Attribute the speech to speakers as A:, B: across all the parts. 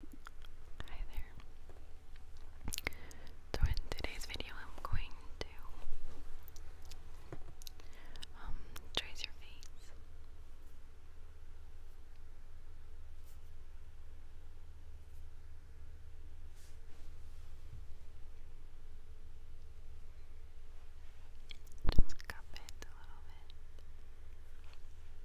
A: Hi there. So in today's video I'm going to um, trace your face. Just cup it a little bit.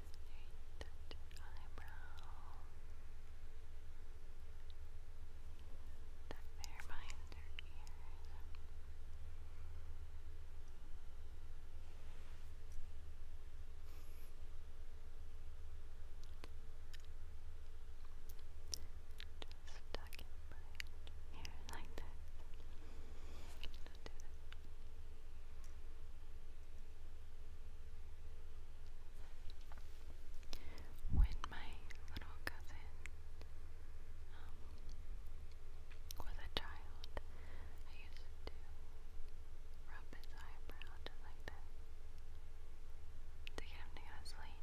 A: Right, touch eyebrow. Tuck there behind your ears. Just
B: tuck it behind your like that. When my little cousin um, was a child, I used to rub his eyebrow just like this to get him to go to sleep,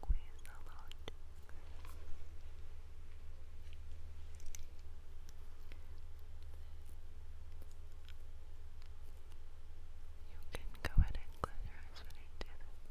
C: Squeeze a lot. You can go ahead and close your eyes when I do this.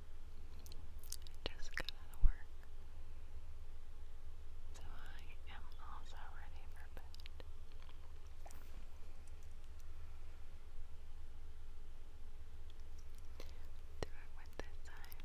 C: I just got out work. So I am also ready for bed. Do it with this side.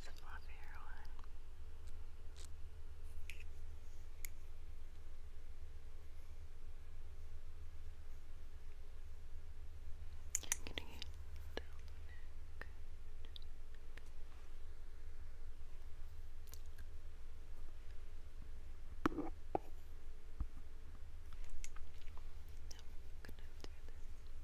D: This fluffier one. Okay. I'm getting it down the neck. Now I'm gonna do this. I don't know, never know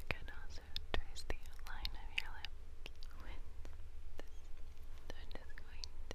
D: I can also trace the outline of your lips with this. I'm just going to.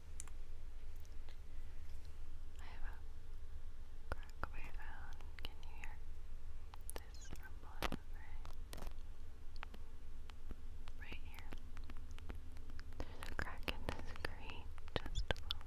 D: I crack of Can you hear this rumble right? here. crack in the screen, just a little.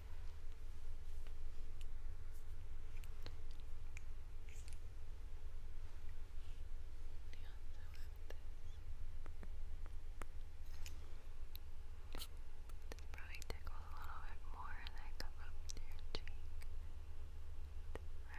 D: Just probably tickle a little bit more and then up to Round here.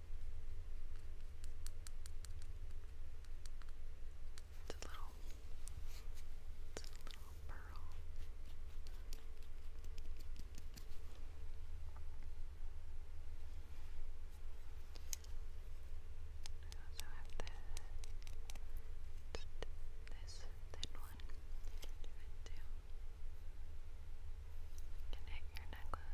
D: It's a little, it's a little pearl. I also have the, this thin one. You do it too. You your necklace.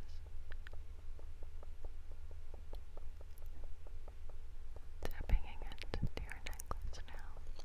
D: Tapping it into your necklace now. Good.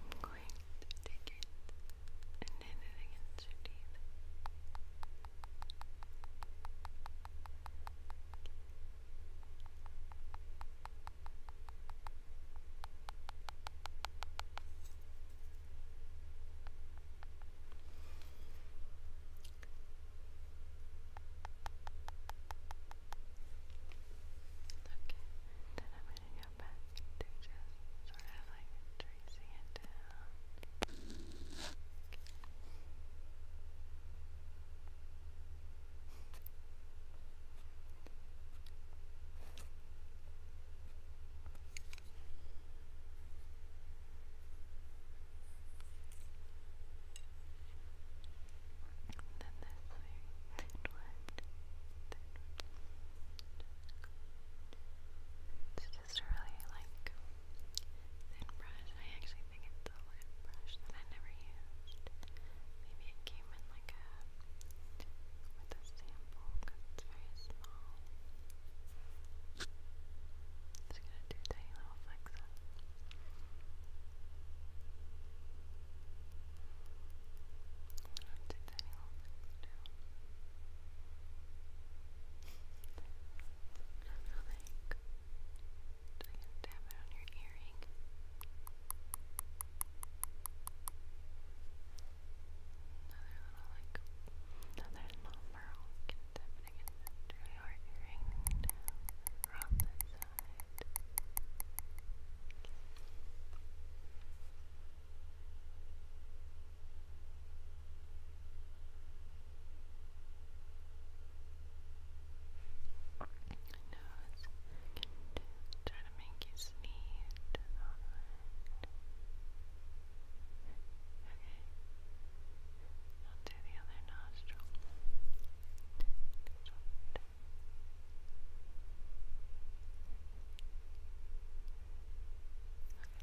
E: I'm going to take it and hit it against your teeth then I'm going to go back to just sort of like tracing it down. It's just a really like thin brush. I actually I think it's a lint brush that I never used. Maybe it came in like a with a sample it's very small. Just gonna do tiny little flecks up. I'll do tiny little flecks just going tap it on your earring. Another little another small tap it again your earring down from side nose can try to make you sneeze. Okay. I'll do the other nostril.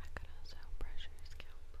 E: I could also pressure your scalp. Okay.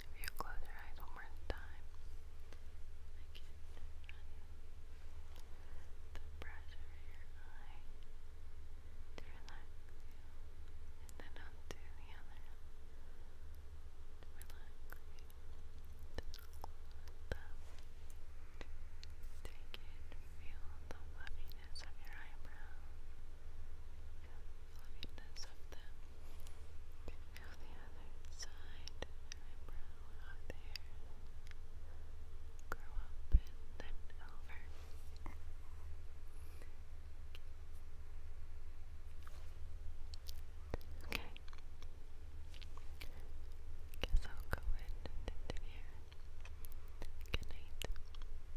E: If you close your eyes one more time, I can run the brush over your eye then onto the other to relax you. Take it, feel the fluffy fluffiness of your eyebrow, fluffiness of them. Feel the other side eyebrow out there. Grow up and then over. Okay. Guess I'll go in and end here. Good night.